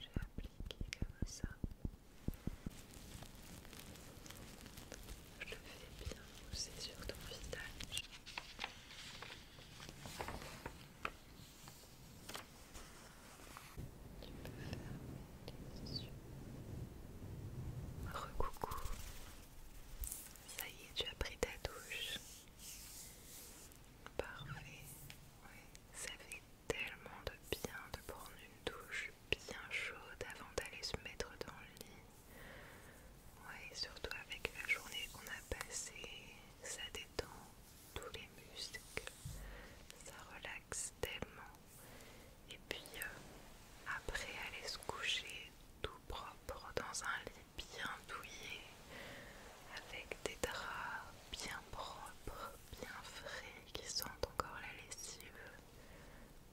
J'ai appliqué comme ça. Je le fais bien aussi sur ton visage. Tu peux fermer Recoucou. Ça y est, tu as pris ta douche. Parfait. Ça fait tellement de bien de prendre une douche bien chaude avant d'aller se mettre dans le lit. Ouais, surtout avec la journée qu'on a passée, ça détend tous les muscles, ça relaxe tellement. Et puis euh, après aller se coucher tout propre dans un lit bien douillet avec des draps bien propres, bien frais qui sentent encore la lessive.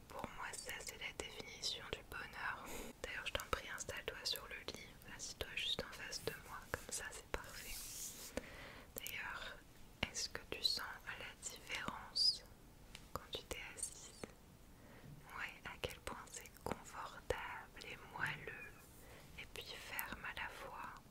Pour moi ça c'est la définition du bonheur. D'ailleurs je t'en prie installe-toi sur le lit, assis-toi juste en face de moi, comme ça c'est parfait. D'ailleurs est-ce que tu sens la différence quand tu t'es assise Ouais, à quel point c'est confortable et moelleux et puis ferme à la fois.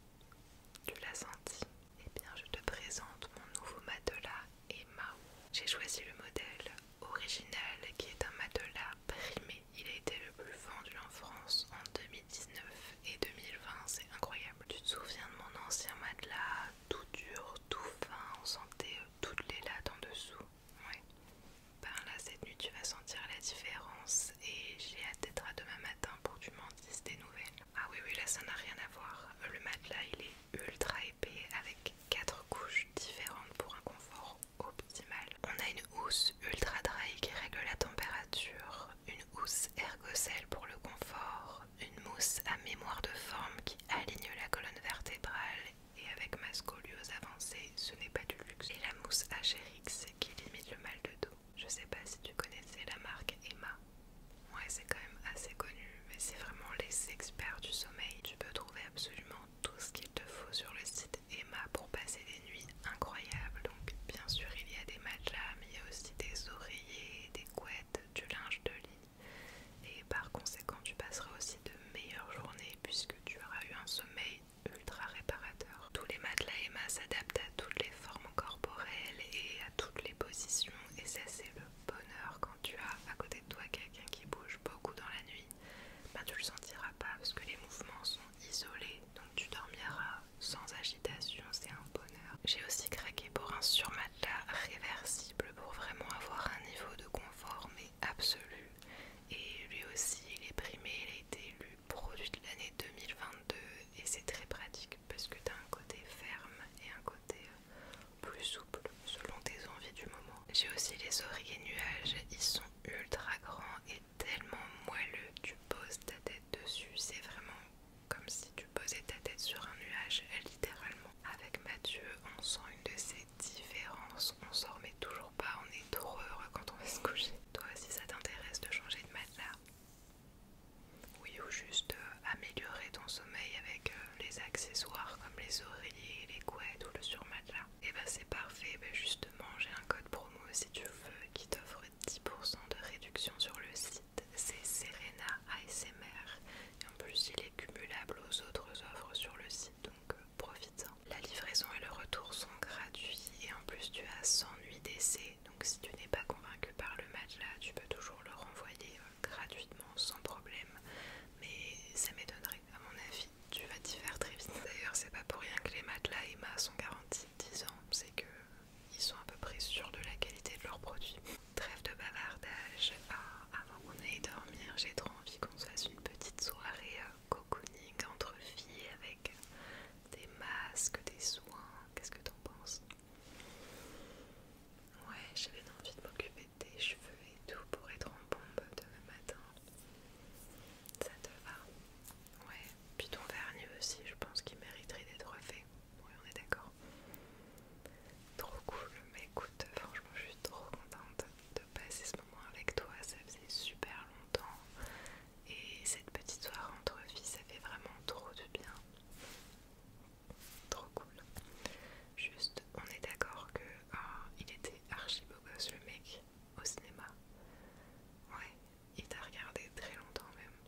Tu l'as senti Eh bien, je te présente mon nouveau matelas Emma. J'ai choisi le modèle original qui est un matelas primé. Il a été le plus vendu en France en 2000. 2019 et 2020, c'est incroyable. Tu te souviens de mon ancien matelas, tout dur, tout fin, on sentait euh, toutes les lattes en dessous. Ouais. Ben là, cette nuit, tu vas sentir la différence et j'ai hâte d'être à demain matin pour que tu m'en dises des nouvelles. Ah oui, oui, là, ça n'a rien à voir. Le matelas, il est ultra épais avec quatre couches différentes pour un confort optimal. On a une housse ultra dry qui règle la température, une housse pour le confort, une mousse à mémoire de forme qui aligne la colonne vertébrale et avec ma scoliose avancée, ce n'est pas du luxe. Et la mousse HRX qui limite le mal de dos. Je sais pas si tu connaissais la marque Emma. Ouais, c'est quand même assez connu, mais c'est vraiment les experts du sommeil. Tu peux trouver absolument tout ce qu'il te faut sur le site Emma pour passer des nuits incroyable. Donc bien sûr il y a des matelas, mais il y a aussi des oreillers, des couettes, du linge de lit. Et par conséquent tu passeras aussi de meilleures journées puisque tu auras eu un sommeil ultra réparateur. Tous les matelas Emma s'adaptent à toutes les formes corporelles et à toutes les positions et ça c'est le bonheur quand tu as à côté de toi quelqu'un qui bouge beaucoup dans la nuit. Ben, tu le sentiras pas parce que les mouvements sont isolés donc tu dormiras sans agitation, c'est un bonheur. J'ai aussi craqué pour un surmatelas réversible pour vraiment avoir un niveau de confort mais absolu. Et lui aussi, il est primé, il a été élu produit de l'année 2022 et c'est très pratique parce que tu un côté ferme et un côté euh, plus souple selon tes envies du moment. J'ai aussi les oreillers nuages, ils sont ultra grands et tellement moelleux, tu poses ta tête dessus, c'est vraiment comme si tu posais ta tête sur un nuage, littéralement. Avec Mathieu, on sent une de ces différences. On s'en remet toujours pas, on est trop quand on va se coucher. Toi si ça t'intéresse de changer de matelas Oui, ou juste euh, améliorer ton sommeil avec euh, les accessoires comme les oreillers, les couettes ou le surmatelas. Et eh ben, c'est parfait, ben, justement, j'ai un code promo si tu veux qui t'offre 10% de réduction sur le site, c'est Serena ASMR. Et en plus, il est cumulable aux autres offres sur le site, donc euh, profite-en. La livraison et le retour sont gratuits et en plus, tu as 100 nuits d'essai. Donc si tu n'es pas convaincu par le matelas tu peux toujours le renvoyer euh, gratuitement sans problème. Mais ça m'étonnerait, à mon avis, tu vas t'y faire très vite. D'ailleurs, c'est pas pour rien que les matelas Emma sont garantis 10 ans, c'est que ils sont à peu près sûrs de la qualité de leurs produits. Trêve de bavardage. Ah, avant qu'on aille dormir, j'ai trop envie qu'on se fasse une petite soirée euh, cocooning entre filles avec euh, des masques, des soins. Qu'est-ce que t'en penses Ouais, j'avais envie de m'occuper de tes cheveux et tout pour être en bombe demain matin. Ça te va Ouais, puis ton vernis aussi, je pense qu'il mériterait d'être refait. Oui, on est d'accord. Trop cool, mais bah, écoute, franchement, je suis trop contente de passer ce moment avec toi. Ça faisait super longtemps. Et cette petite soirée entre filles, ça fait vraiment trop de bien. Trop cool. Juste, on est d'accord que ah, il était archi beau gosse le mec au cinéma. Ouais, il t'a regardé très longtemps même.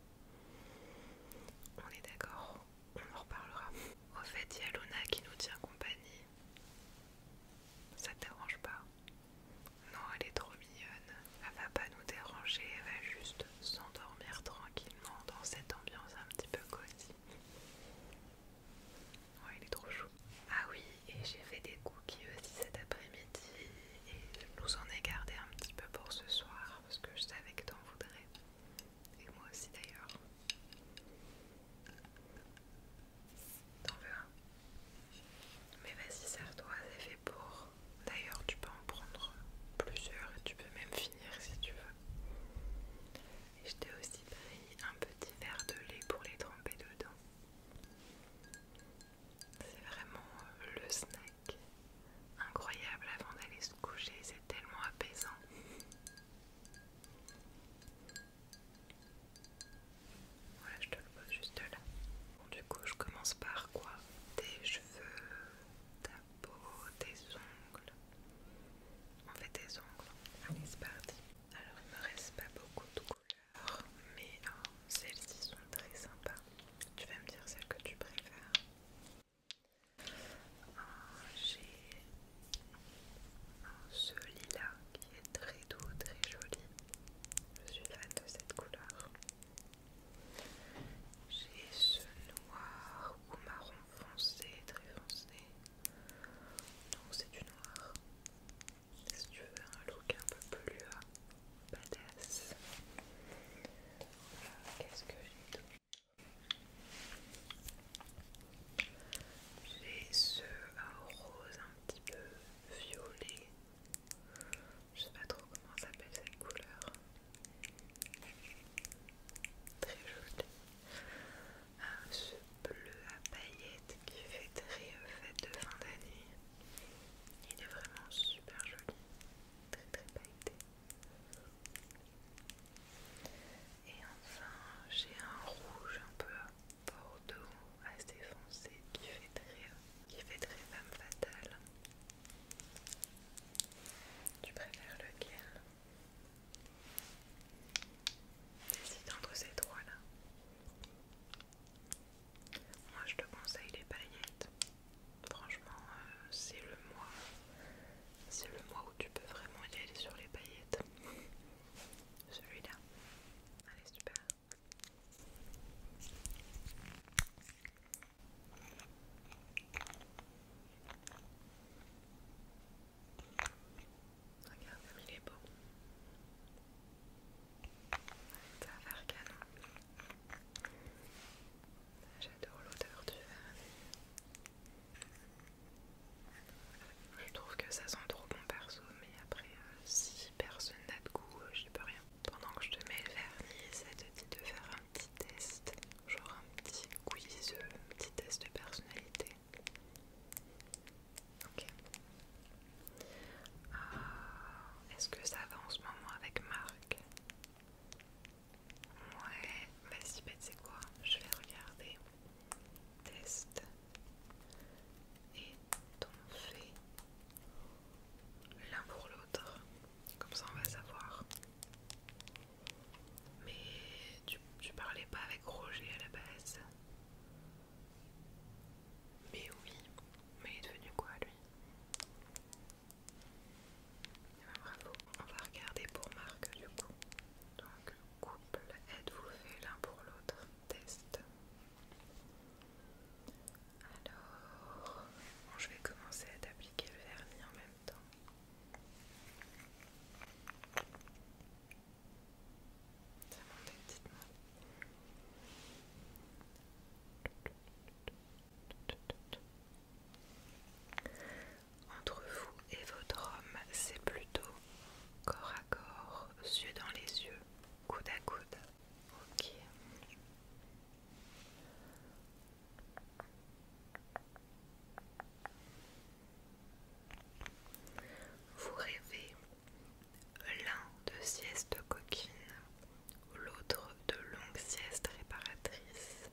On est d'accord, on en reparlera. Au fait, il y a Luna qui nous tient compagnie. Ça te dérange pas Non, elle est trop mignonne. Elle va pas nous déranger, elle va juste s'endormir tranquillement dans cette ambiance un petit peu cosy. Ouais, il est trop chou. Ah oui, et j'ai fait des cookies aussi cet après-midi et nous en ai gardé un petit peu pour ce soir parce que je savais que t'en voudrais. Et moi aussi d'ailleurs. T'en veux un Mais vas-y, sers-toi, c'est fait pour. D'ailleurs, tu peux en prendre plusieurs et tu peux même finir si tu veux. Et je t'ai aussi pris un petit verre de lait pour les tremper dedans. C'est vraiment euh, le snack incroyable avant d'aller se coucher, c'est tellement apaisant. Voilà, je te le pose juste là. Bon, du coup, je commence par quoi Tes cheveux, ta peau, tes ongles. On fait tes ongles. Allez, c'est parti. Alors, il me reste pas beaucoup de couleurs, mais hein, celles-ci sont très sympas. Tu vas me dire celle que tu préfères. J'ai ce lilas qui est très doux, très joli. Je suis fan de cette couleur. J'ai ce noir ou marron foncé, très foncé. Non, c'est du noir. Si tu veux un look un peu plus badass. Qu'est-ce que j'ai J'ai ce rose un petit peu violet. Je sais pas trop comment s'appelle cette couleur. Très jolie. ce bleu à paillettes qui fait très euh, fête de fin d'année. Il est vraiment super joli. Très très pailleté. Et enfin, j'ai un rouge un peu bordeaux assez foncé qui fait très, qui fait très femme fatale. Tu préfères lequel Décide entre ces trois là. Moi je te conseille les paillettes. Franchement, euh, c'est le mois. C'est le mois où tu peux vraiment aller sur les paillettes. Celui-là. Allez, super. Regarde comme il est beau. Ça va faire canon. J'adore l'odeur du vernis. Je trouve que ça sent trop bon perso, mais après, euh, si personne n'a de goût, je euh, j'y peux rien. Pendant que je te mets le vernis, ça te dit de faire un petit test, genre un petit quiz, euh, un petit test de personnalité. Ok. Ah, est-ce que ça va en ce moment avec Marc Ouais, vas-y, bête c'est quoi Je vais regarder. Test. Et ton fait l'un pour l'autre. Comme ça, on va savoir. Mais tu parlais pas avec Roger à la base. Mais oui, mais il est devenu quoi lui bravo, on va regarder pour Marc du coup. Donc couple, êtes-vous fait l'un pour l'autre Test. Alors, je vais commencer à appliquer le vernis en même temps. Ça monte, dites-moi. Entre vous et votre homme, c'est plutôt corps à corps, yeux dans les yeux, coude à coude. Ok. Vous rêvez l'un de sieste coquine, l'autre de longue sieste réparatrice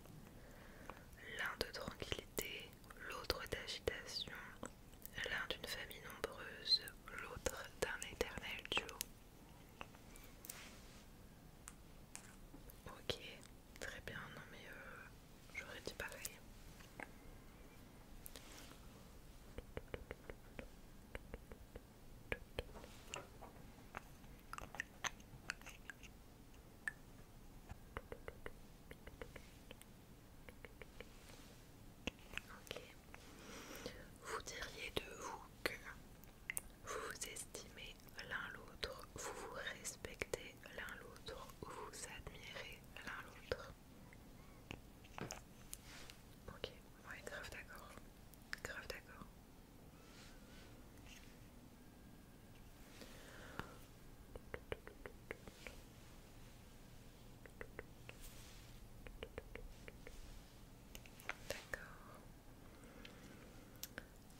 l'un de tranquillité, l'autre d'agitation, l'un d'une famille nombreuse, l'autre d'un éternel duo. Ok, très bien, non mais euh, j'aurais dit pareil. Ok. Vous diriez de vous que vous vous estimez l'un l'autre, vous vous respectez l'un l'autre, vous admirez l'un l'autre. Ok, ouais, grave d'accord. Grave d'accord. D'accord.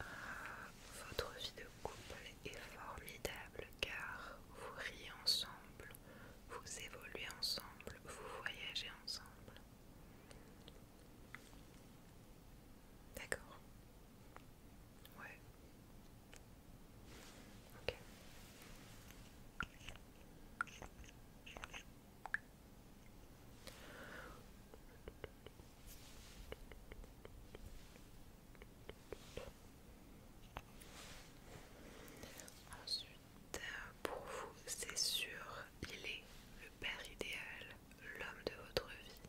Ah, votre vie de couple est formidable car vous riez ensemble, vous évoluez ensemble, vous voyagez ensemble. D'accord. Ouais. Ok. Ensuite, pour vous, c'est sûr, il est le père idéal, l'homme de votre vie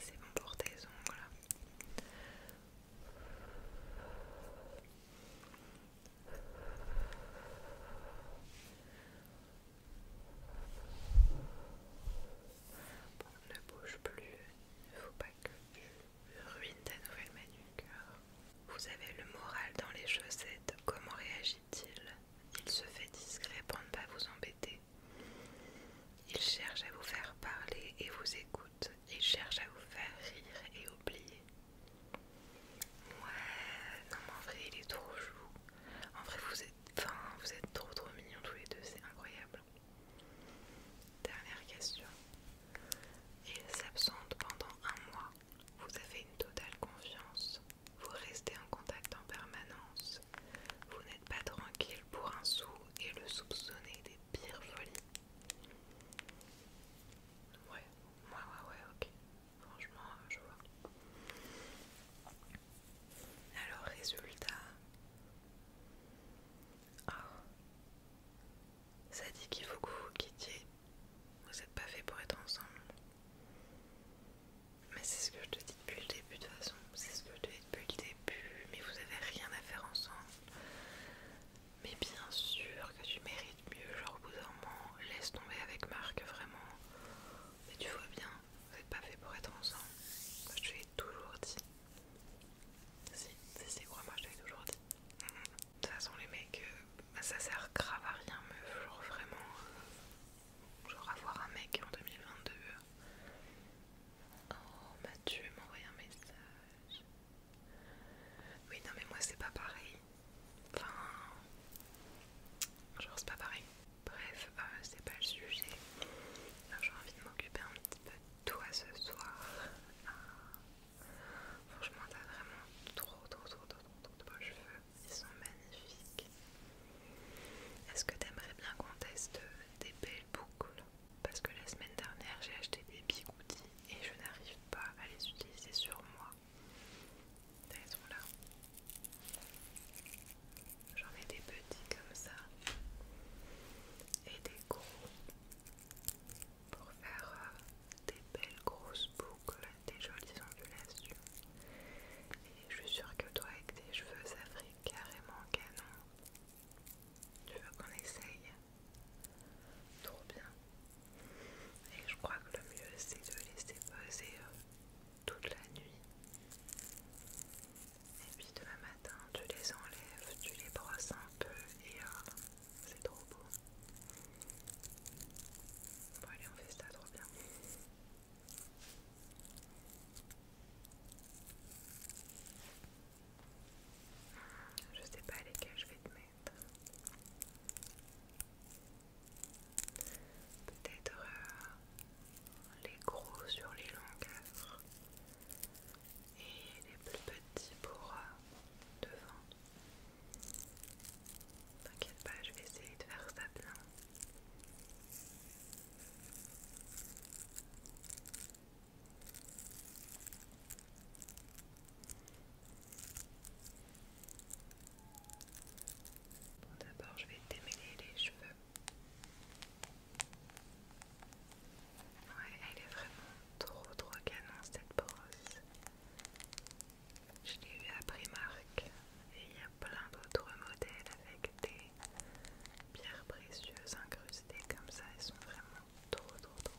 C'est bon pour tes ongles. ne bouge plus, il ne faut pas que je ruines ta nouvelle manucure. Vous avez le moral dans les chaussettes, comment réagit-il Il se fait discret pour ne pas vous embêter. Il cherche à vous faire parler et vous écoute. Il cherche à vous faire rire et oublier. Ouais, non mais en vrai il est trop chou. En vrai vous êtes, vous êtes trop trop mignons tous les deux, c'est incroyable. Dernière question. Il s'absente pendant un mois vous avez une totale confiance, vous restez en contact en permanence, vous n'êtes pas tranquille pour un sou et le soupçonner des pires folies. Ouais, ouais, ouais, ouais, ok. Franchement, euh, je vois. Alors, résultat. Oh ça dit qu'il faut que vous vous quittiez. Vous n'êtes pas fait pour être ensemble. Mais c'est ce que je te dis depuis le début de façon. C'est ce que je te dis depuis le début. Mais vous avez rien à faire ensemble. Mais bien sûr que tu mérites mieux. Genre au bout d'un laisse tomber avec Marc, vraiment. Mais tu vois bien, vous n'êtes pas fait pour être ensemble. Je te l'ai toujours dit. Si, si, c'est quoi, moi je te toujours dit. De toute façon, les mecs, euh, ça sert grave à rien, meuf. Genre, vraiment, euh, genre avoir un mec en 2022. Euh. Oh, Mathieu m'a envoyé un message. Oui, non, mais moi, c'est pas pareil. Enfin, genre, c'est pas pareil. Bref, c'est pas le sujet. J'ai envie de m'occuper un petit peu de toi ce soir. Ah. Franchement, t'as vraiment trop, trop, trop, trop, trop de beaux cheveux. Ils sont magnifiques. Est-ce que t'aimerais bien qu'on teste des belles boucles Parce que la semaine dernière, j'ai acheté des bigoudis et je n'arrive pas à les utiliser sur moi. sont là. J'en ai des petits comme ça et des gros pour faire euh, des belles grosses boucles, des jolies ondulations. Et je suis sûre que toi, avec tes cheveux, ça ferait carrément canon. Tu veux qu'on essaye Trop bien. Et je crois que le mieux, c'est de laisser déposer euh, toute la nuit. Et puis demain matin, tu les enlèves, tu les brosses un peu et c'est trop beau. Bon allez, on fait ça trop bien. Je sais pas lesquels je vais te mettre. Peut-être euh, les gros sur les longueurs et les plus petits pour euh, devant. T'inquiète pas, je vais essayer de faire ça bien. Bon, d'abord, je vais démêler les cheveux. Ouais, elle est vraiment trop trop canon cette brosse. Je l'ai eu à Primark et il y a plein d'autres modèles avec des pierres précieuses incrustées comme ça. Elles sont vraiment trop trop trop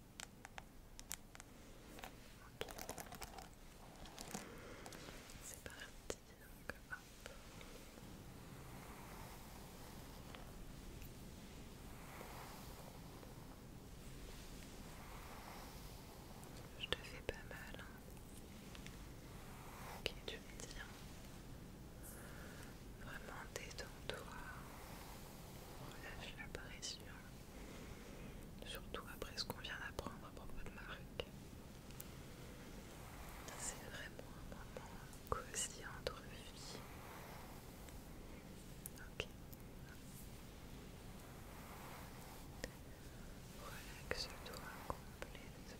C'est parti. Donc, hop. Je te fais pas mal. Hein. Ok, tu me dis. Hein. Vraiment détends-toi. Relâche la pression. Surtout après ce qu'on vient d'apprendre à propos de Marc. C'est vraiment un moment cosy entre vie. Ok. Relaxe-toi complètement.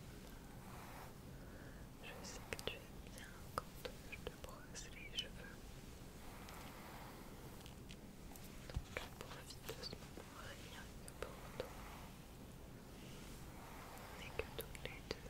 Je sais que tu aimes bien quand je te brosse les cheveux. Donc pour de rien pour On n'est que toutes les deux.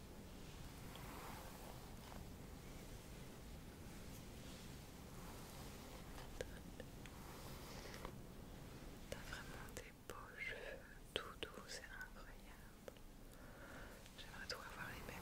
T'as vraiment des beaux cheveux, tout doux, c'est incroyable. J'aimerais tout avoir les mêmes.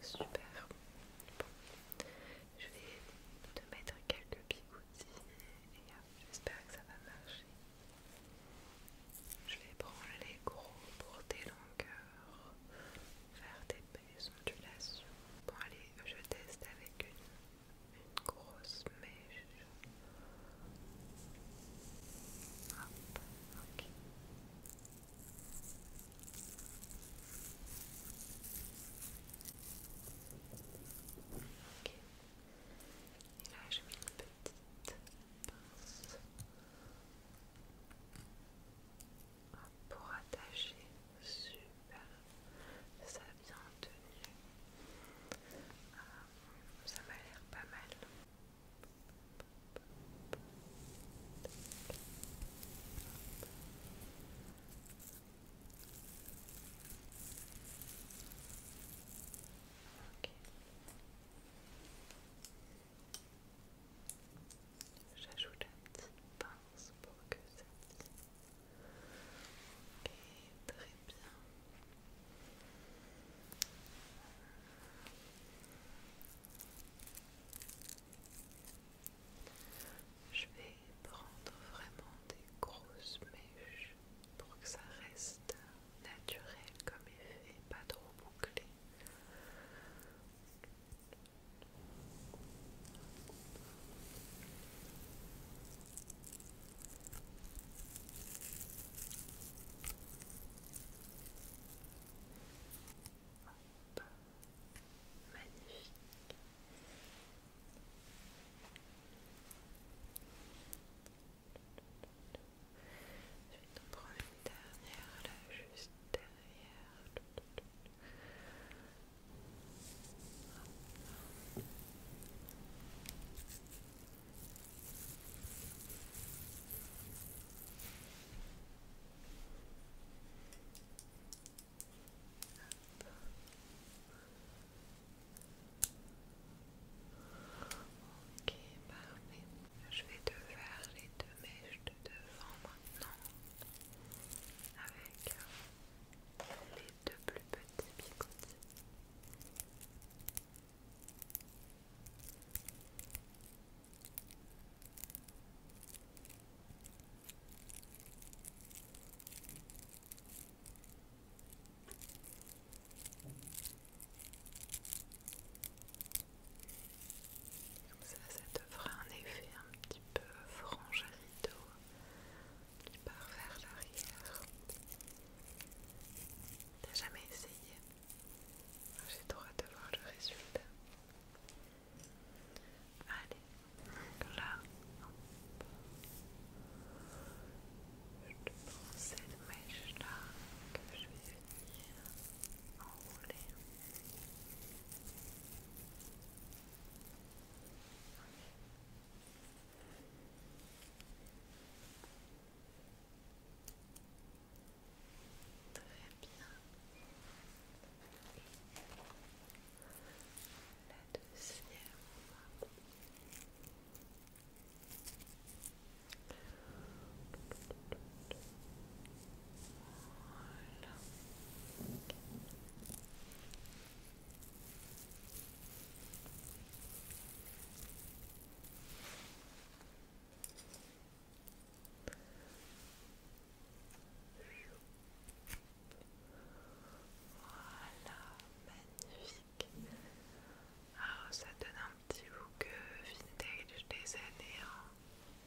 Super. Je vais te mettre quelques bigoudis et euh, j'espère que ça va marcher. Je vais prendre les gros pour tes longueurs, faire des belles ondulations. Bon allez, je teste avec une, une grosse mèche. Hop, ok. Et là, je mets une petite pince pour attacher. Super. Ça bien tenu. Ah, ça m'a l'air pas mal. J'ajoute la petite pince pour que ça tisse. Ok, très bien. Je vais prendre vraiment des grosses mèches pour que ça reste naturel comme effet, pas trop bouclé. Magnifique. Je vais t'en prendre une dernière là, juste derrière. Je vais te faire les deux mèches de devant maintenant avec euh, les deux plus petits picotis. Comme ça, ça te un effet un petit peu frange qui part vers l'arrière. T'as jamais essayé ah, j'ai droit de voir le résultat. Allez, là, je prends cette que je vais venir enrouler. Très bien. La deuxième. Voilà. Voilà, magnifique. Alors, ça donne un petit look euh, vintage des années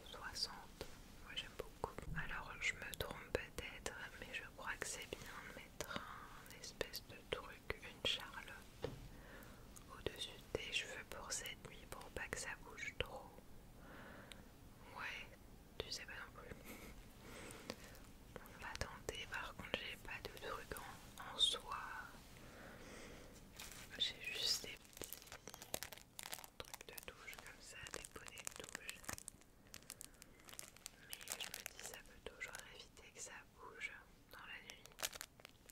60. Hein, Moi j'aime beaucoup. Alors, je me trompe peut-être, mais je crois que c'est bien de mettre un espèce de truc, une charlotte au-dessus des tes cheveux pour cette nuit pour pas que ça bouge trop. Ouais, tu sais pas non plus. On va tenter, par contre j'ai pas de truc en, en soi. J'ai juste des petits trucs de douche comme ça, des bonnets de douche Mais je me dis ça peut toujours éviter que ça bouge dans la nuit.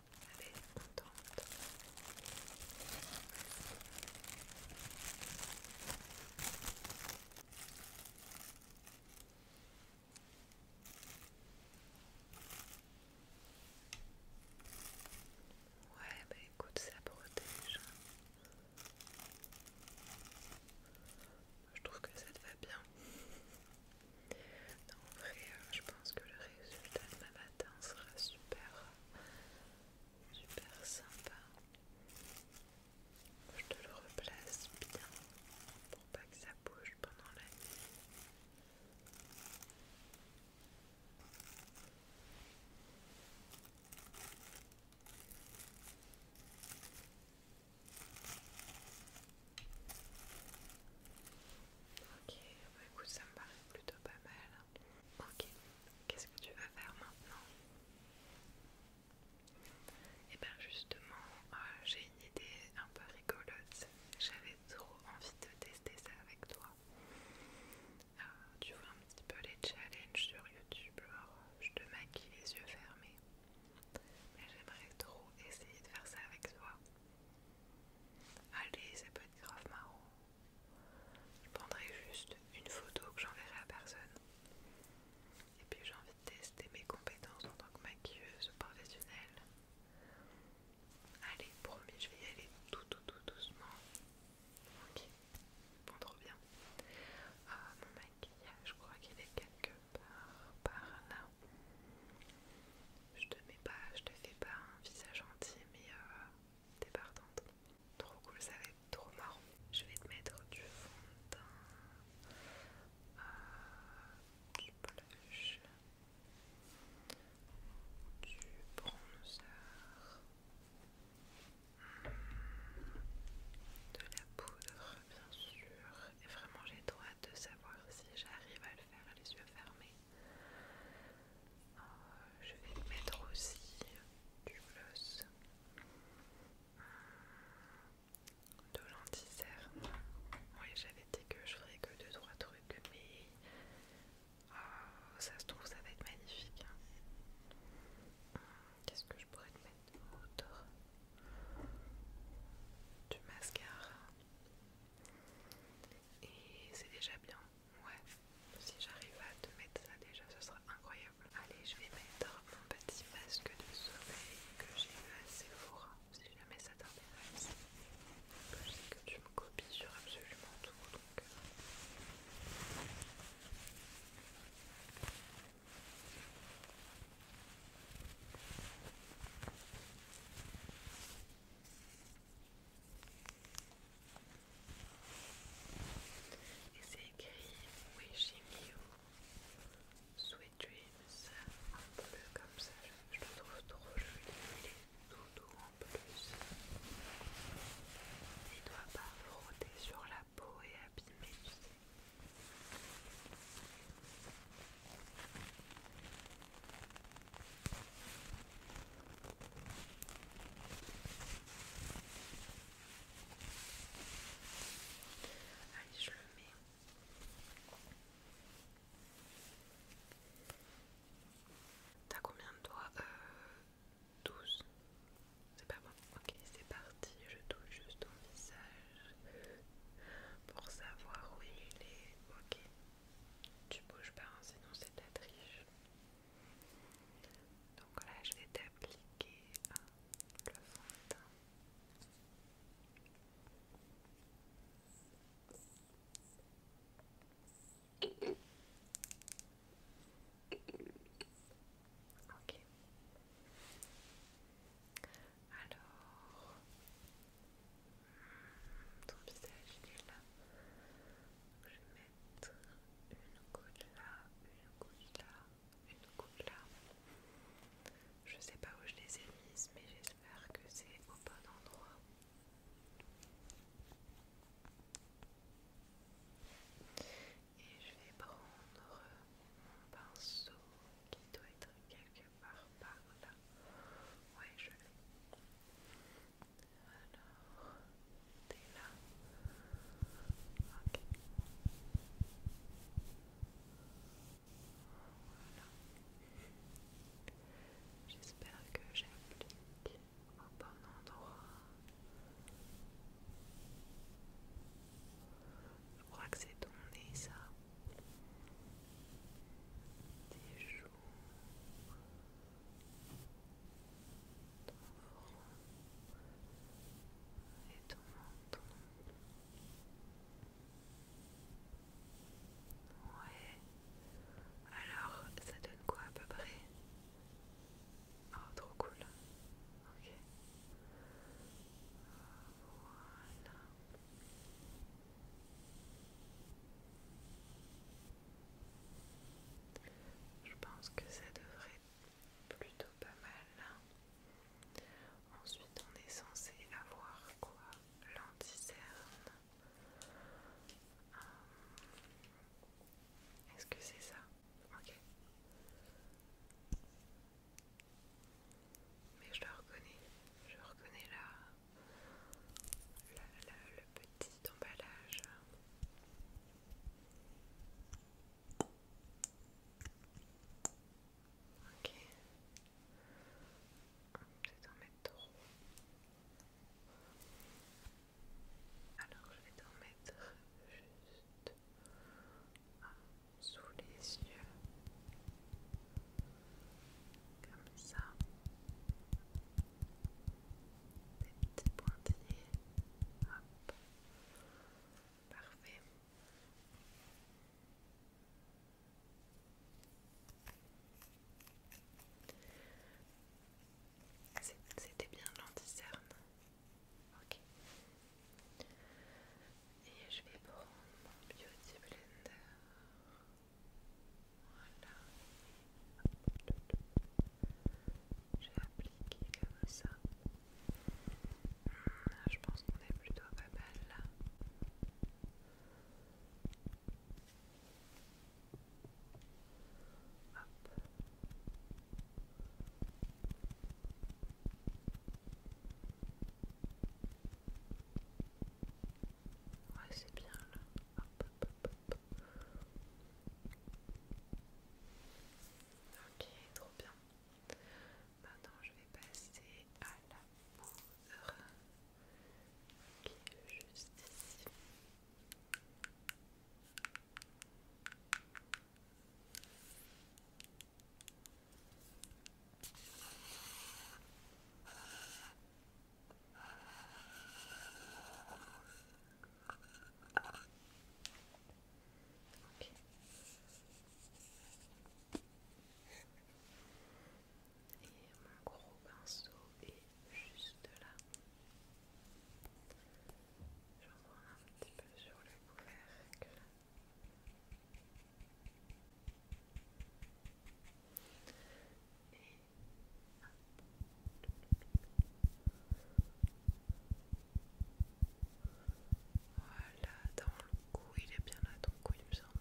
Allez, on Ouais, bah écoute, ça protège. Je trouve que ça te va bien en vrai, euh, je pense que le résultat de ma matin sera super, super sympa. Je te le replace bien pour pas que ça bouge pendant la nuit. Ok, bah écoute, ça me paraît plutôt pas mal. Ok, qu'est-ce que tu vas faire maintenant Et eh bien justement, euh, j'ai une idée un peu rigolote. J'avais trop envie de tester ça avec toi. Euh, tu vois un petit peu les challenges sur YouTube, je te maquille les yeux fermés. Mais j'aimerais trop essayer de faire ça avec toi. Allez, ça peut être grave marrant. Je prendrai juste une photo que j'enverrai à personne. Et puis j'ai envie de tester mes compétences en tant que maquilleuse professionnelle. Allez, promis, je vais y aller tout, tout, tout doucement. Ok, bon, trop bien. Ah, mon maquillage, je crois qu'il est quelque part par là. Je te mets pas, je te fais pas un visage gentil, mais euh, t'es partante. Trop cool, ça va être trop marrant. Je vais te mettre du fond de euh, teint, du blush, du bronzer, de la poudre, bien sûr. Et vraiment, j'ai trop hâte de savoir si j'arrive à le faire les yeux fermés euh, je vais mettre aussi du gloss euh, de l'anticerne. Oui, j'avais dit que je ferais que deux 3 trucs, mais euh, ça se trouve, ça va être magnifique. Hein. Qu'est-ce que je pourrais mettre d'autre Du mascara. Et c'est déjà bien, ouais. Si j'arrive à te mettre ça déjà, ce sera incroyable. Allez, je vais mettre mon petit masque de sommeil que j'ai eu à Sephora, si jamais ça t'intéresse. Je sais que tu me copies sur absolument tout, donc... Et c'est écrit Wishing You Sweet Dreams un peu comme ça. Je le trouve trop joli. Il est tout doux en plus. Il ne doit pas frotter sur la peau et abîmer, tu sais. Allez, je le mets. T'as combien de doigts 12. Euh, c'est pas bon. Ok, c'est parti. Je touche juste ton visage pour savoir où il est. Ok. Tu bouges pas, hein, sinon c'est de la triche. Donc là, je vais t'appliquer le fond Ok. Alors, là. je vais mettre une goutte là, une goutte là, une goutte là. Je sais pas où je les ai mises, mais j'espère que c'est au bon endroit. Et je vais prendre mon pinceau qui doit être quelque part par là. Ouais, je l'ai. Alors, t'es là. Ok. Voilà. J'espère que j'applique au bon endroit. Je crois que c'est ton nez, ça jour ton et ton menton ouais alors ça donne quoi à peu près Oh, trop cool. Ok. Voilà. Je pense que ça devrait plutôt pas mal Ensuite on est censé avoir quoi L'anticerne. Euh, est-ce que c'est ça Ok. Mais je le reconnais. Je reconnais là le petit emballage. Ok. Je vais en mettre trop. Alors je vais t'en mettre juste sous les yeux. Comme ça des Parfait. C'était bien l'anticerne. Ok. Et je vais prendre mon beauty blender. Voilà. J'ai appliqué comme ça. Ah, je pense qu'on est plutôt pas belle là. Hop. Ouais, c'est bien là. hop, hop. Ok, trop bien. Maintenant, je vais passer à la poudre qui est juste ici. Et mon gros pinceau est juste là. J'en prends un petit peu sur le couvercle. Voilà, dans le cou, il est bien là, ton cou, il me semble,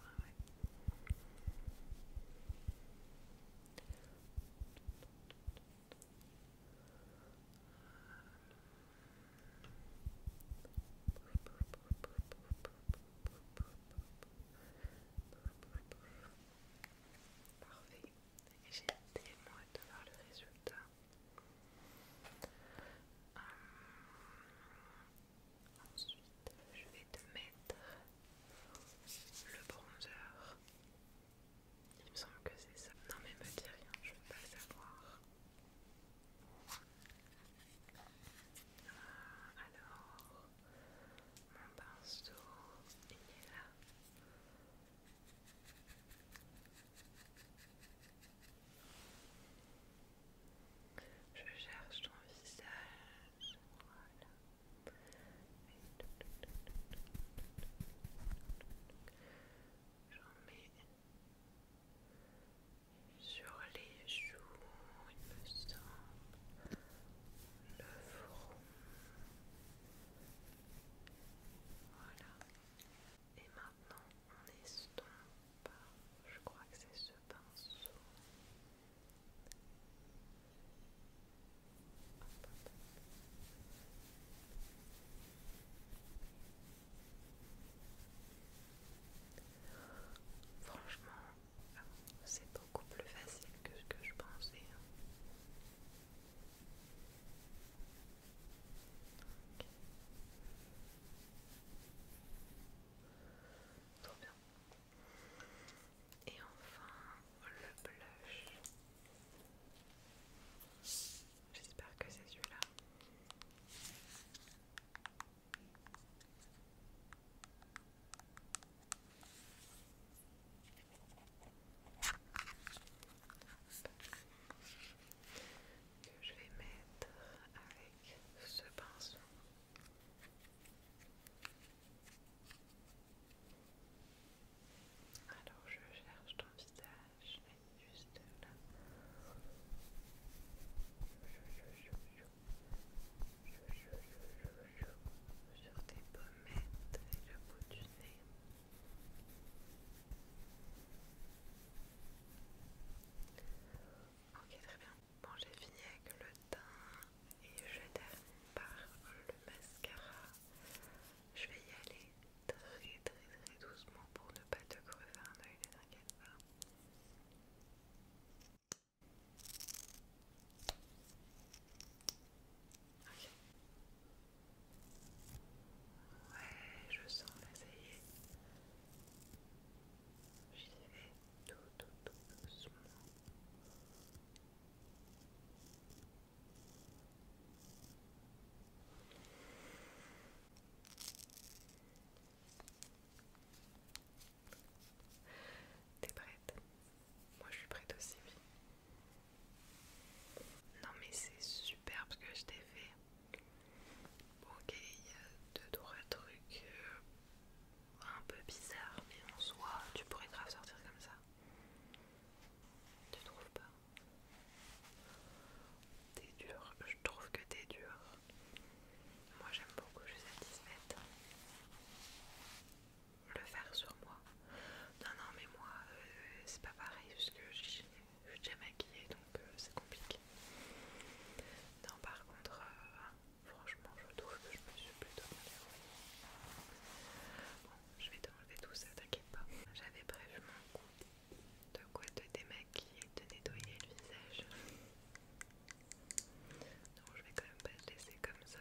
Parfait. J'ai tellement hâte de voir le résultat. Hum, ensuite, je vais te mettre le bronzer. Il me semble que c'est ça. Non mais me dis rien, je veux pas le savoir. Euh, alors, mon pinceau, il est là. Je cherche ton visage. Voilà. J'en mets sur les joues, il me semble, le front. Voilà. Et maintenant, on est estompe. Je crois que c'est ce pinceau. Franchement, c'est beaucoup plus facile que ce que je pensais. Hein. Et enfin, le blush. J'espère que c'est celui-là que je vais mettre avec ce pinceau. Alors je cherche ton visage, juste là sur tes pommettes et le bout du nez. Ok, très bien. Bon, j'ai fini avec le teint et je termine par le mascara. Je vais y aller très très très doucement pour ne pas te crever un œil, ne t'inquiète pas. Ok Ouais, je sens l'essayer tout, tout, tout doucement. prête moi je suis prête aussi, Non mais c'est super ce que je t'ai fait. Ok, il y a deux trois trucs euh, un peu bizarres, mais en soi tu pourrais grave sortir comme ça. Tu trouves pas T'es dur, je trouve que t'es dur. Moi j'aime beaucoup, je suis satisfaite le faire sur moi. Non, non, mais moi, euh, c'est pas pareil parce que je suis déjà maquillée donc euh, c'est compliqué. Non, par contre, euh, franchement, je trouve que je me suis plutôt maquillée. Bon, je vais t'enlever tout ça, t'inquiète pas. J'avais prévu de quoi te démaquiller, te nettoyer le visage. donc je vais quand même pas te laisser comme ça.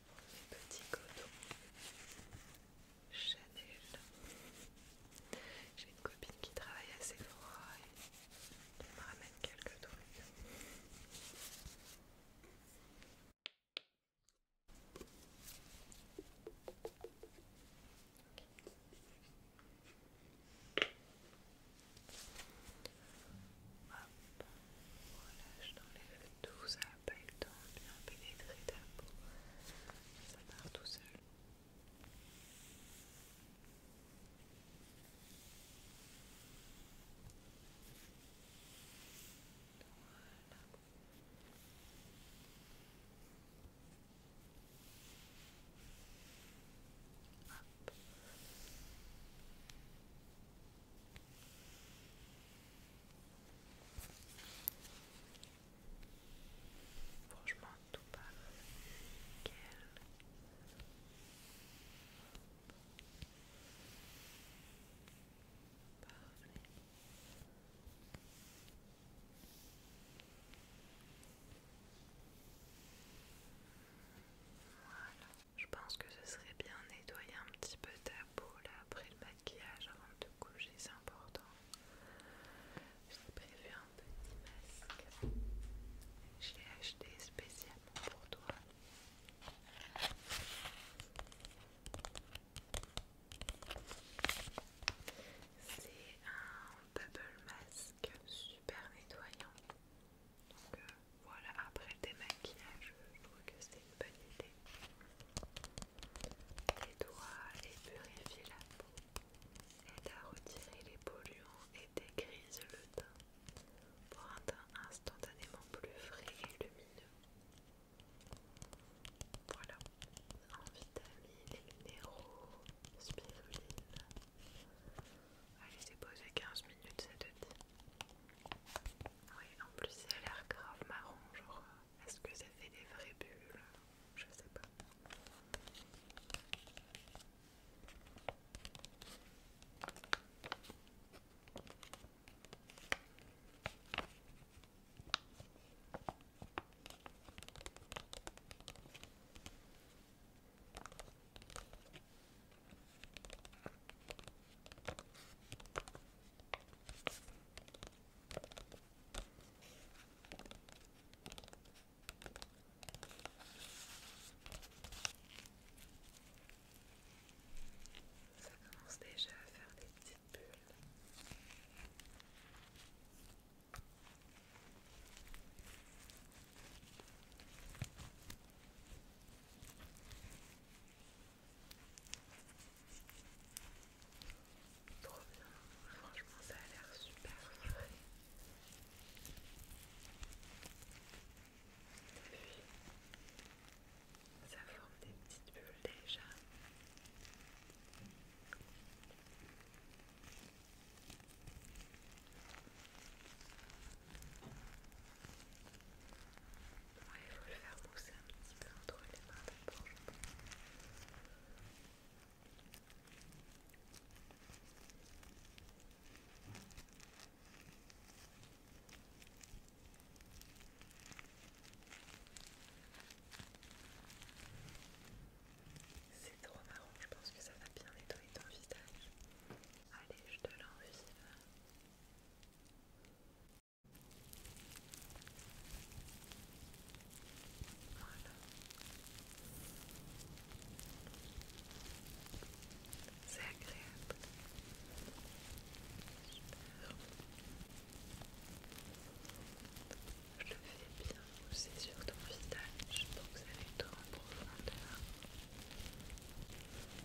Petit coton Chanel. J'ai une copine qui travaille assez froid et elle me ramène quelques trucs. voilà je dans les tout ça pas eu le temps de bien pénétrer ta peau, ça part tout seul. Voilà. Hop. Franchement, tout pas nickel. Je pense que ce serait bien nettoyer un petit peu ta peau là après le maquillage avant de te coucher, c'est important. J'ai prévu un petit masque. Je l'ai acheté spécialement pour toi. C'est un double masque super nettoyant. Donc euh, voilà, après le maquillages, je trouve que c'est une bonne idée. Les doigts et la peau, aide à retirer les polluants et dégrise le teint pour un teint instantanément plus frais et lumineux. Voilà, en vitamines et minéraux, spiruline. Allez, c'est posé 15 minutes, ça te dit oui, en plus ça a l'air grave marron, genre euh, est-ce que ça fait des vraies bulles Je sais pas. Ça commence déjà à faire des petites bulles. Trop bien, franchement ça a l'air super frais. Ça forme des petites bulles déjà. Ouais, il faut le faire mousser un petit peu entre les mains d'abord, je pense. C'est trop marrant, je pense que ça va bien nettoyer ton visage. Allez, je te l'enfile. C'est agréable. Je le fais bien aussi sur ton visage Donc que ça aille en profondeur.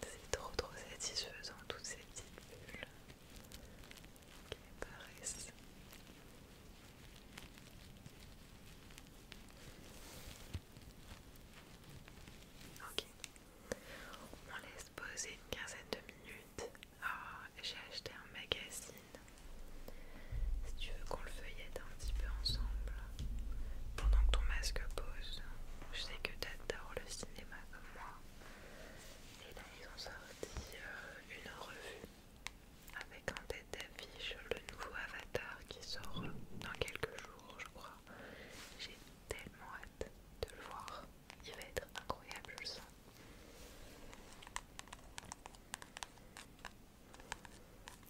C'est trop trop satisfaisant toutes ces petites bulles qui apparaissent. Ok, on laisse poser une quinzaine de minutes ah, j'ai acheté un magazine. Si tu veux qu'on le feuillette un petit peu ensemble, pendant que ton masque pose, je sais que t'adores le cinéma comme moi. Et là, ils ont sorti euh, une revue avec en tête d'affiche le nouveau Avatar qui sort dans quelques jours, je crois. J'ai tellement hâte de le voir il va être incroyable, je le sens.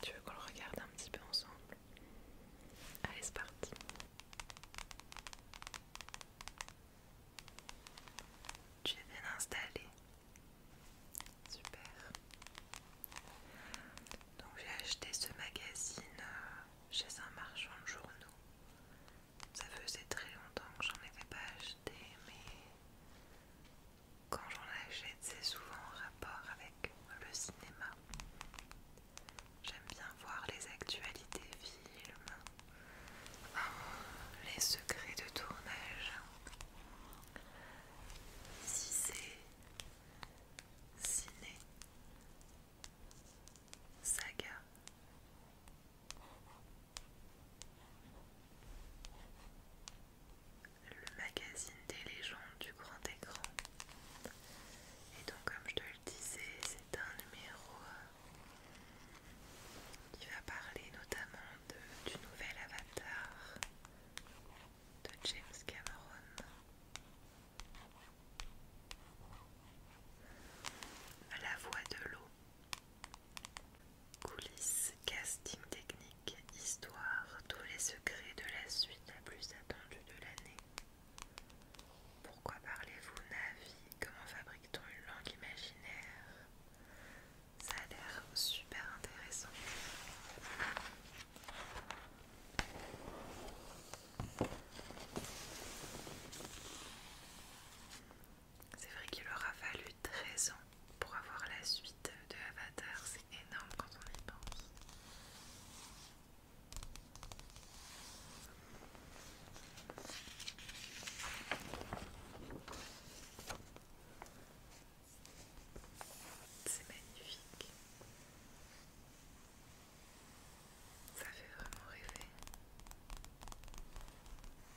Tu veux qu'on le regarde un petit peu ensemble Allez, c'est parti. Tu es bien installé. Super. Donc j'ai acheté ce magazine euh, chez un marchand de journaux ça faisait très longtemps que j'en avais pas acheté, mais quand j'en achète, c'est souvent en rapport avec le cinéma. J'aime bien voir les actualités films, hein, les secrets de tournage. Si c'est ciné, saga, le magazine des légendes du grand écran. Et donc comme je te le disais, c'est un numéro euh, qui va parler notamment du nouvel avatar de James Cameron. La voix de l'eau Coulisses, casting technique, histoire, tous les secrets de la suite la plus attendue de l'année. Pourquoi parlez-vous Navi Comment fabrique-t-on une langue imaginaire Ça a l'air super intéressant. C'est vrai qu'il aura a fallu 13 ans pour avoir la suite de Avatar, c'est énorme quand on y pense. C'est magnifique. Ça fait vraiment rêver. On a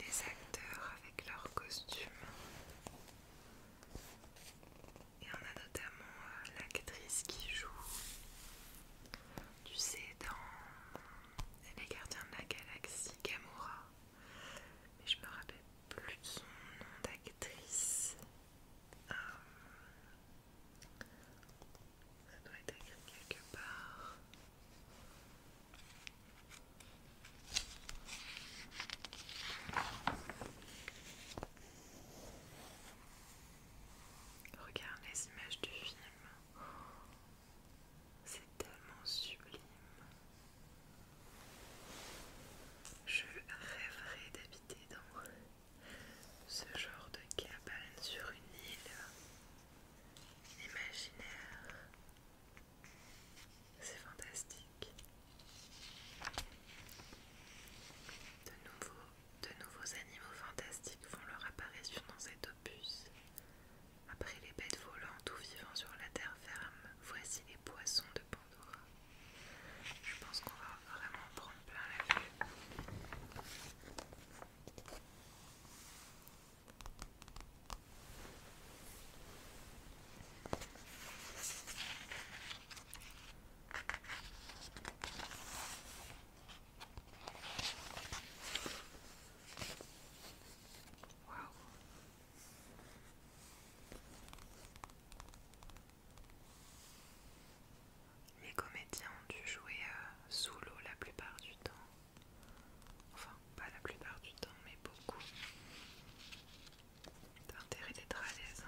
les acteurs avec leurs costumes. Et on a notamment euh, l'actrice qui joue, tu sais, dans Les Gardiens de la Galaxie, Gamora. Mais je me rappelle plus de son nom d'actrice. Euh, ça doit être écrit quelque part. Regarde les images du film. C'est tellement sublime. Je rêverais d'habiter dans ce genre de cabane sur une île imaginaire. C'est fantastique. De, nouveaux animaux fantastiques font leur apparition dans cet opus. Après les bêtes volantes ou vivant sur la terre ferme, voici les poissons de Pandora. Je pense qu'on va vraiment prendre plein la vue. Les comédiens ont dû jouer euh, Solo la plupart du temps. Enfin, pas la plupart du temps, mais beaucoup. D'intérêt d'être à l'aise.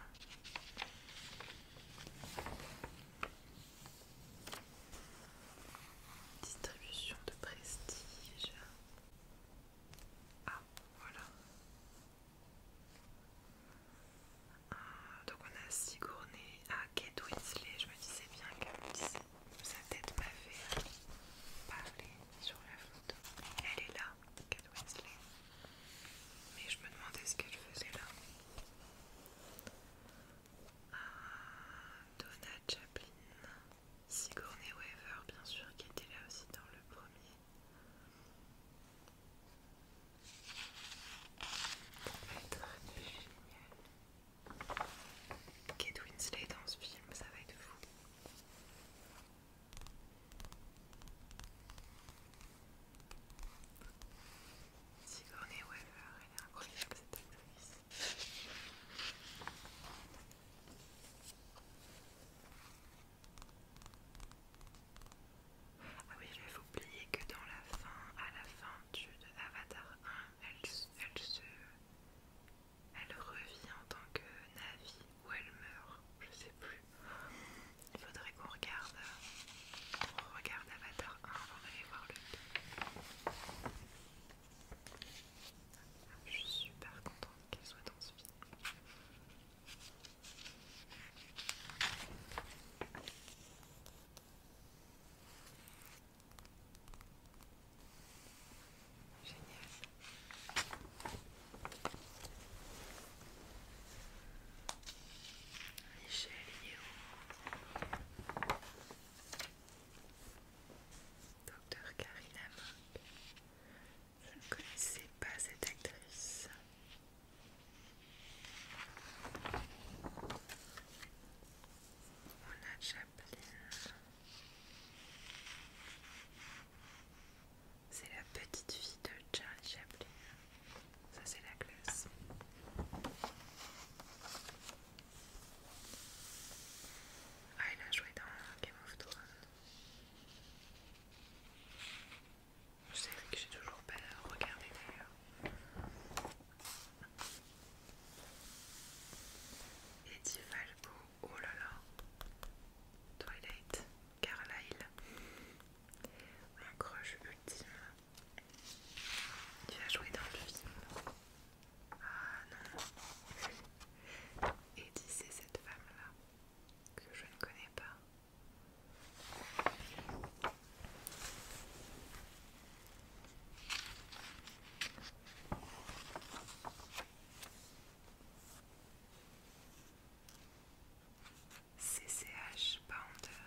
Distribution de prestige. Ah, voilà. Ah, donc on a Sigourney. Ah, Kate Winslet. Je me disais bien que sa tête fait hein, Parler sur la photo. Elle est là. Kate Winsley Mais je me demandais ce qu'elle faisait là. Ah, Donna Chaplin, Sigourney Weaver, bien sûr, qui était là aussi dans le premier. Ça va être génial. Kate Winslet dans ce film, ça va être fou. Sigourney Weaver, elle est incroyable cette actrice. Ah oui, j'avais oublié que dans la fin, à la fin du de Avatar 1, elle, se... Elle revit en tant que navire où ou elle meurt, je sais plus. Il faudrait qu'on regarde, on Avatar 1 avant d'aller voir le Je suis super contente qu'elle soit dans ce Génial. Richelieu. Docteur Karina Mock, Je ne connaissais pas cette actrice. On a Chaplin. C'est la petite fille de Charlie Chaplin. Ça, c'est la classe. Ah, il a joué dans Game of Thrones. Je sais que j'ai toujours pas regardé d'ailleurs. Eddie Falco, oh là là. Twilight, Carlyle. Mon crush ultime. Tu as joué dans le film. Ah non. Et c'est cette femme-là que je ne connais pas. CCH Pounder,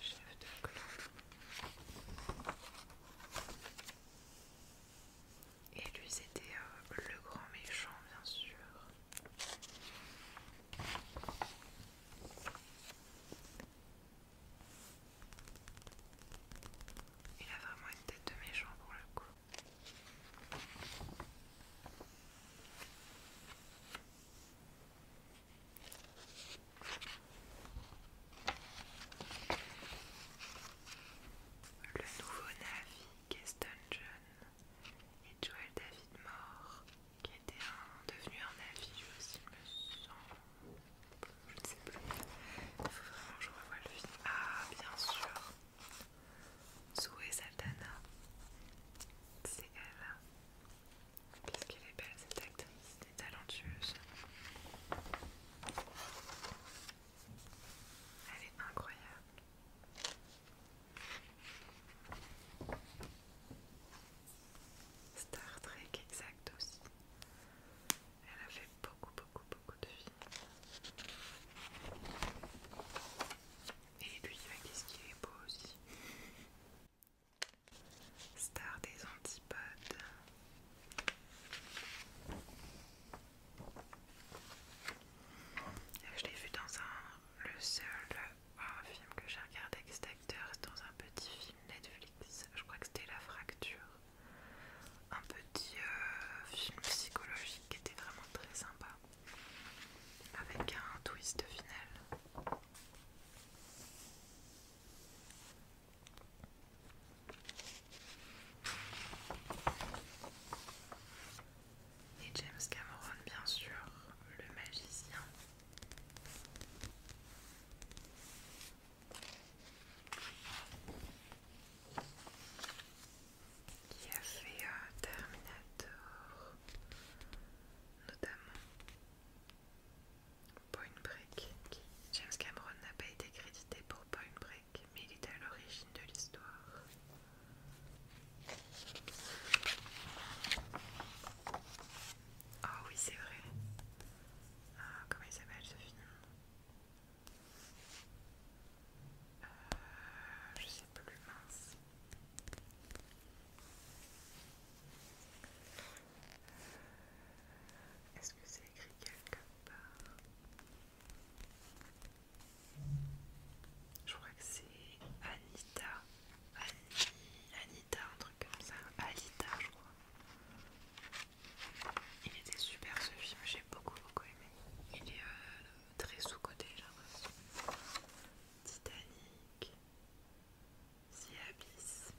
chef de clan. Et lui, c'était euh, le grand méchant, bien sûr. Il a vraiment une tête de méchant pour le coup. Le nouveau Navi, Keston John et Joel David Moore, qui était un, devenu un Navi aussi, me sens, Je ne sais plus. Il faut vraiment que je revoie le film. Ah, bien sûr. Zoe Saldana, c'est elle. Qu'est-ce qu'elle est belle cette actrice, elle est talentueuse. Elle est incroyable. Star Trek exact aussi. Elle a fait beaucoup beaucoup beaucoup de films. Et lui, bah, qu'est-ce qu'il est beau aussi. Star des antipodes. Euh, je l'ai vu dans un. Le seul euh, film que j'ai regardé avec cet acteur, dans un petit film Netflix. Je crois que c'était La Fracture. Un petit euh, film psychologique qui était vraiment très sympa avec un twist final. Et James Cameron, bien sûr, le magicien qui a fait euh, Terminator, notamment Point Break. James Cameron n'a pas été crédité pour Point Break, mais il est à l'origine de l'histoire. Oh oui, c'est vrai. Ah, comment il s'appelle ce film euh, Je sais plus, mince. Est-ce que c'est écrit quelque part Je crois que c'est Anita. Anita, un truc comme ça. Alita, je crois. Il était super ce film, j'ai beaucoup beaucoup aimé. Il est euh, très sous-côté, genre. Titanic, The Abyss.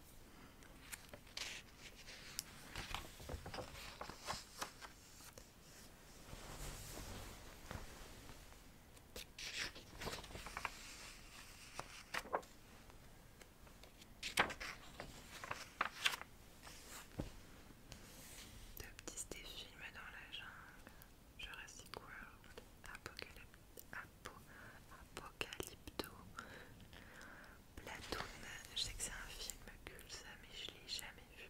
De petits films dans la jungle. Jurassic World, Apocalypse, Apocalypse Apocalypto, Platoon. Je sais que c'est un film cul ça, mais je l'ai jamais vu.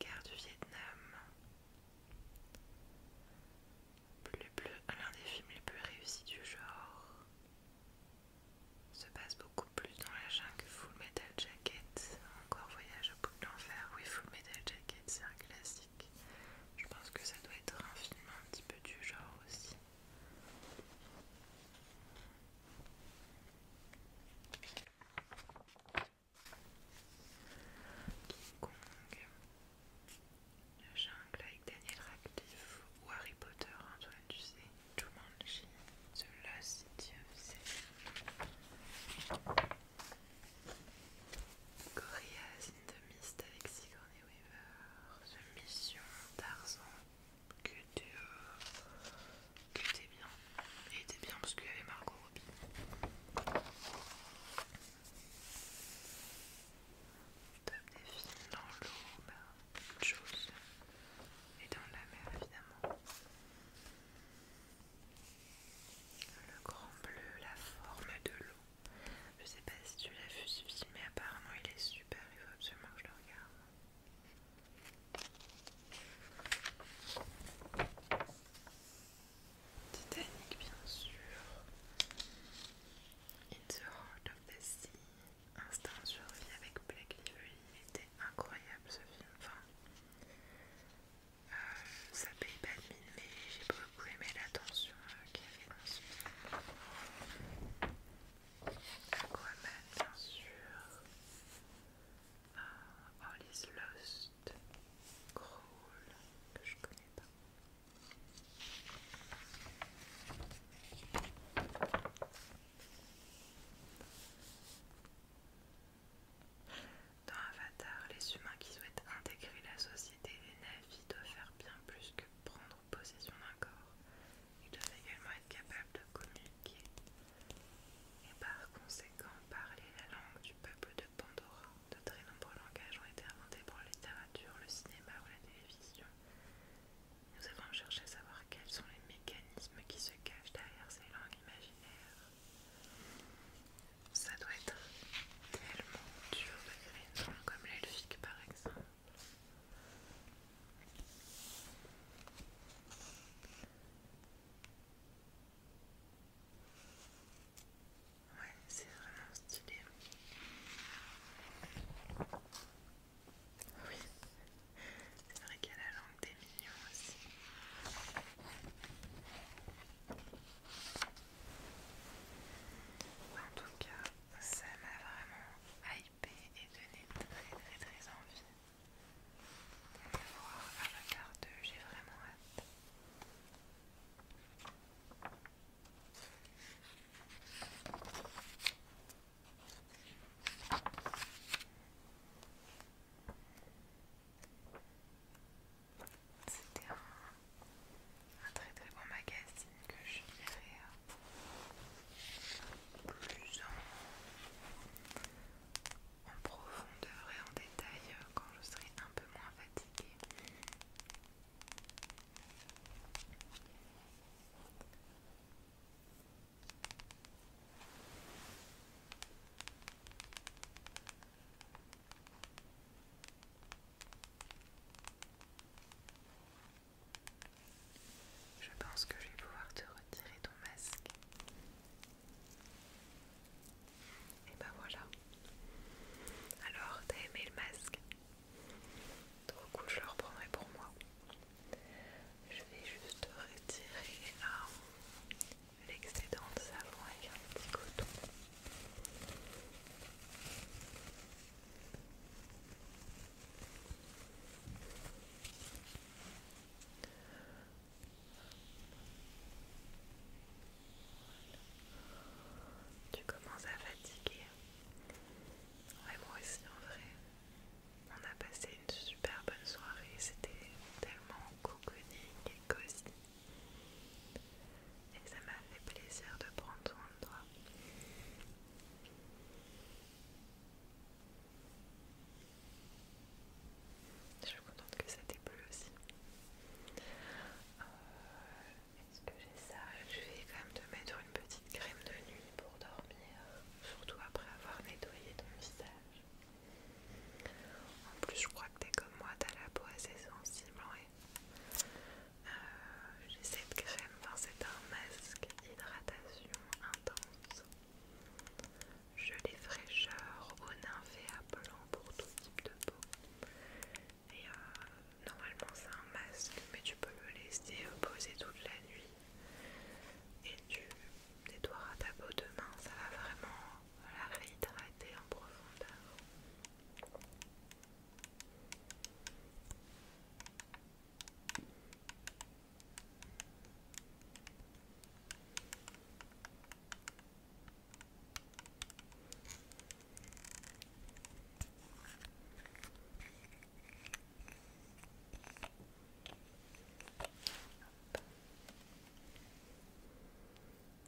Guerre du Vietnam. L'un des films les plus réussis du genre se passe beaucoup plus dans la jungle Full Metal Jacket encore Voyage au bout de l'enfer, oui, Full Metal Jacket, c'est un classique. Je pense que ça doit être un film un petit peu du genre aussi. King Kong, La Jungle avec Daniel Radcliffe ou Harry Potter, Antoine, tu sais, Jumanji, The Lost City of Corias in Mist avec Sigourney Weaver, The Mission, Tarzan, que tu euh, que bien. Et t'es bien parce qu'il y avait Margot Robbie. Top des films dans l'eau, bah, autre chose. Et dans la mer évidemment. Le grand bleu, la forme de l'eau. Je sais pas si tu l'as vu ce film, mais apparemment il est super, il faut absolument que je le regarde. Titanic, bien sûr. In the Heart of the Sea. Instinct survie avec Blake Lively. Il était incroyable ce film. Enfin, ça paye pas de mine, mais j'ai beaucoup aimé l'attention euh, qu'il y avait dans ce film. Aquaman, bien sûr. All ah, oh, is Lost. Crawl, que je connais pas. Dans Avatar, les humains qui souhaitent intégrer la société des Navis doivent faire bien plus que prendre possession d'un corps. Ils doivent également être capables de communiquer et par conséquent parler la langue du peuple de Pandora. De très nombreux langages ont été inventés pour la littérature, le cinéma ou la télévision. Nous avons cherché à savoir quels sont les mécanismes qui se cachent derrière ces langues imaginaires. Ça doit être tellement dur de créer une comme l'elfique par exemple. Ouais, c'est vraiment stylé. Oui, c'est vrai qu'il a la langue des mignons aussi. En tout cas, ça m'a vraiment hypé et donné très très très envie de le voir Avatar 2, j'ai vraiment hâte. C'était un, très très bon magazine que je euh, plus en, profondeur et en détail euh, quand je serai un peu moins fatiguée. Je pense que je vais pouvoir te retirer ton masque. Et bah ben voilà. Alors, t'as aimé le masque Trop cool, je le reprendrai pour moi. Je vais juste retirer l'excédent de savon avec un petit coton. Tu commences à fatiguer. Ouais, moi aussi en vrai. On a passé une super bonne soirée. C'était tellement cocooning et cosy. Et ça m'a fait plaisir de prendre ton endroit. Je suis contente que ça t'ait plu aussi. Euh, est-ce que j'ai ça Je vais quand même te mettre une petite crème de nuit pour dormir, surtout après avoir nettoyé ton visage. En plus, je crois que t'es comme moi, t'as la peau assez sensible. Euh, j'ai cette crème, c'est un masque hydratation intense. Gelée fraîcheur au à blanc pour tout type de peau. Et euh, normalement, c'est un masque, mais tu peux le laisser poser toute la nuit. Et tu nettoieras ta peau demain, ça va vraiment la réhydrater en profondeur.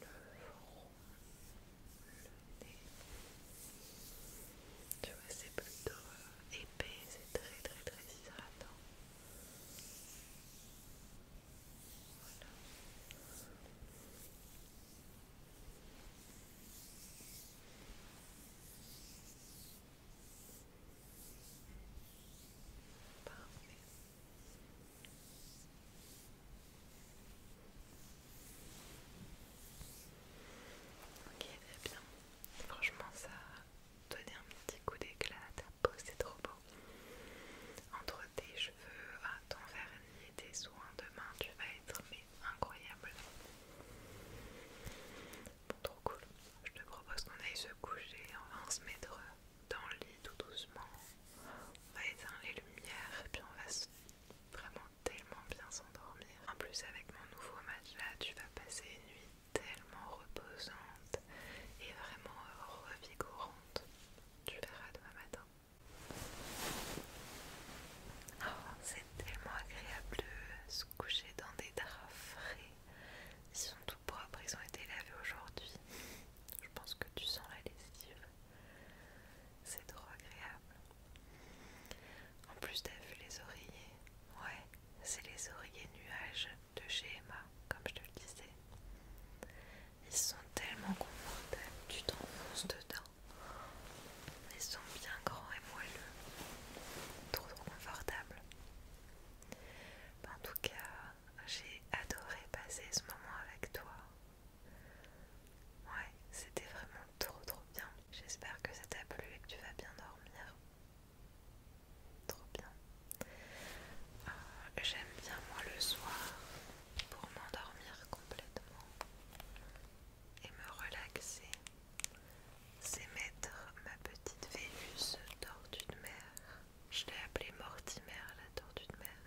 le front, Tu vois, c'est plutôt euh, épais, c'est très très très hydratant. Voilà. Ok, très bien. Franchement, ça a donné un petit coup d'éclat à ta peau, c'est trop beau. Entre tes cheveux, ton vernis, tes soins Demain, tu vas être incroyable. Bon, trop cool. Je te propose qu'on aille se coucher, on va se mettre euh, dans le lit tout doucement. On va éteindre les lumières et puis on va vraiment tellement bien s'endormir. En plus avec mon nouveau matelas, tu vas passer une nuit tellement reposante et vraiment euh, revigorante. Tu verras demain matin. Oh, c'est tellement agréable de se coucher dans des draps frais. Ils sont tout propres, ils ont été lavés aujourd'hui. Je pense que tu sens la lessive. C'est trop agréable. En plus, t'as vu les oreillers Ouais, c'est les oreillers nuages de chez Emma, comme je te le disais. Ils sont tellement confortables, tu t'enfonces dedans. Ils sont bien grands et moelleux. Trop, trop confortables. en tout cas, j'ai adoré passer ce moment avec toi. Ouais, c'était vraiment trop trop bien. J'espère que ça t'a plu et que tu vas bien dormir. Trop bien. Euh, j'aime bien moi le soir pour m'endormir complètement et me relaxer. C'est mettre ma petite Vénus dans d'une mer je l'ai appelée Mortimer, la tortue de mer.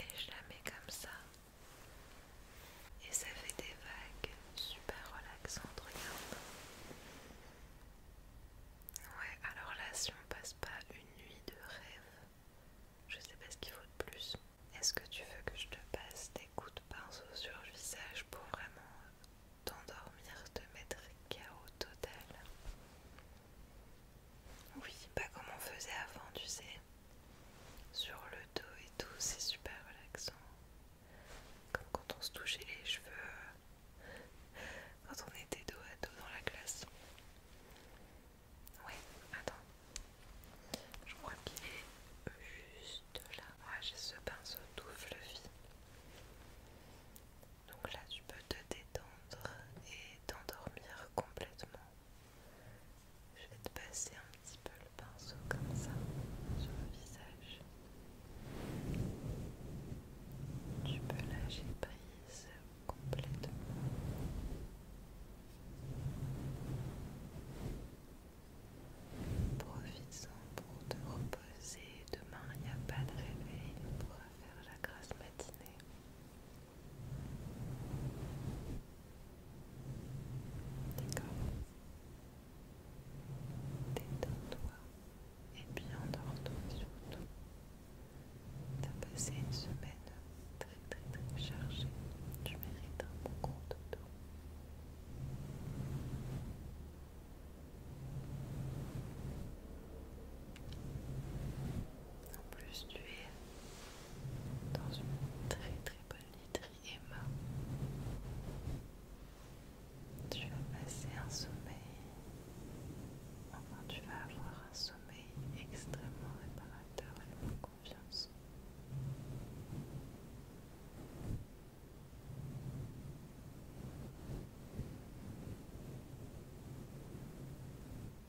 Et je la mets comme ça. Et ça fait des vagues super relaxantes, regarde. Ouais, alors là, si on passe pas une nuit de rêve, je sais pas ce qu'il faut de plus. Est-ce que tu veux que je te passe des coups de pinceau sur le visage pour vraiment t'endormir, te mettre chaos total oui, pas comme on faisait avant, tu sais. Sur le dos et tout, c'est super relaxant. Comme quand on se touchait les cheveux euh, quand on était dos à dos dans la classe. Ouais, attends. Je crois qu'il est juste là. Ah, j'ai ce pinceau tout fluffy. Donc là, tu peux te détendre et t'endormir complètement. Je vais te passer un petit peu le pinceau comme ça sur le visage. Tu peux lâcher prise complètement. profite en pour te reposer. Demain, il n'y a pas de réveil pour faire la grasse matinée. D'accord. Détends-toi et bien dors-toi surtout. T'as passé une semaine très très très chargée. Tu mérites un bon gros dodo. En plus, tu es dans une très très bonne literie, Emma. Tu vas passer un sommeil. Enfin, tu vas avoir un sommeil extrêmement réparateur, et confiance.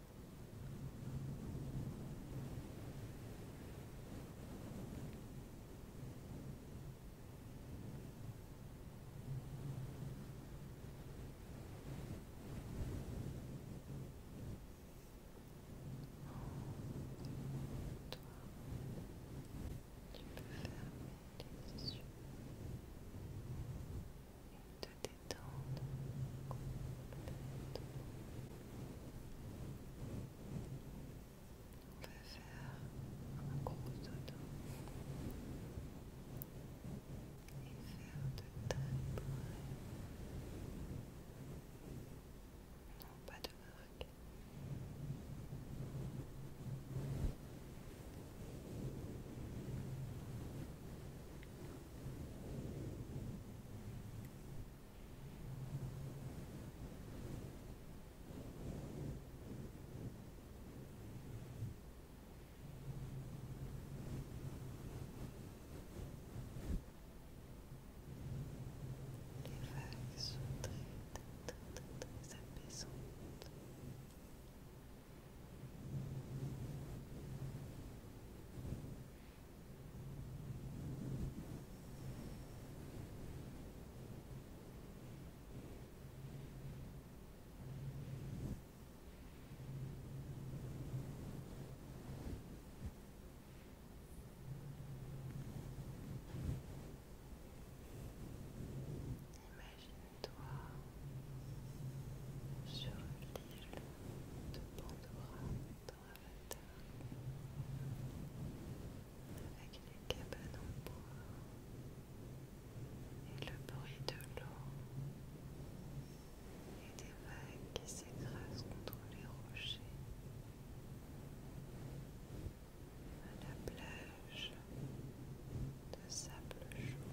Tu peux fermer les yeux et te on va faire un gros dodo et faire de très beaux rêves. Non, pas de marque. Les vagues sont très, très, très, très apaisantes. Imagine-toi sur l'île de Pandora dans Avatar avec les cabanes en bois et le bruit de l'eau et des vagues qui s'écrasent contre les rochers à la plage de sable chaud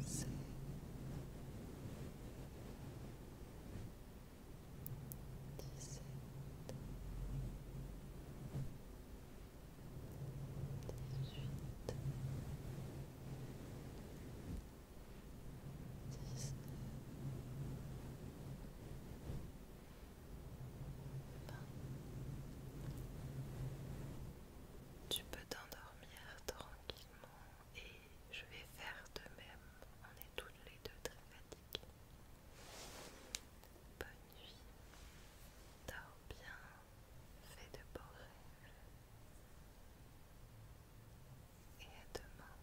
C dix-sept dix-huit tu peux t'endormir tranquillement et je vais faire de même. On est toutes les deux très fatiguées. Bonne nuit. Dors bien. Fais de beaux rêves. Et à demain.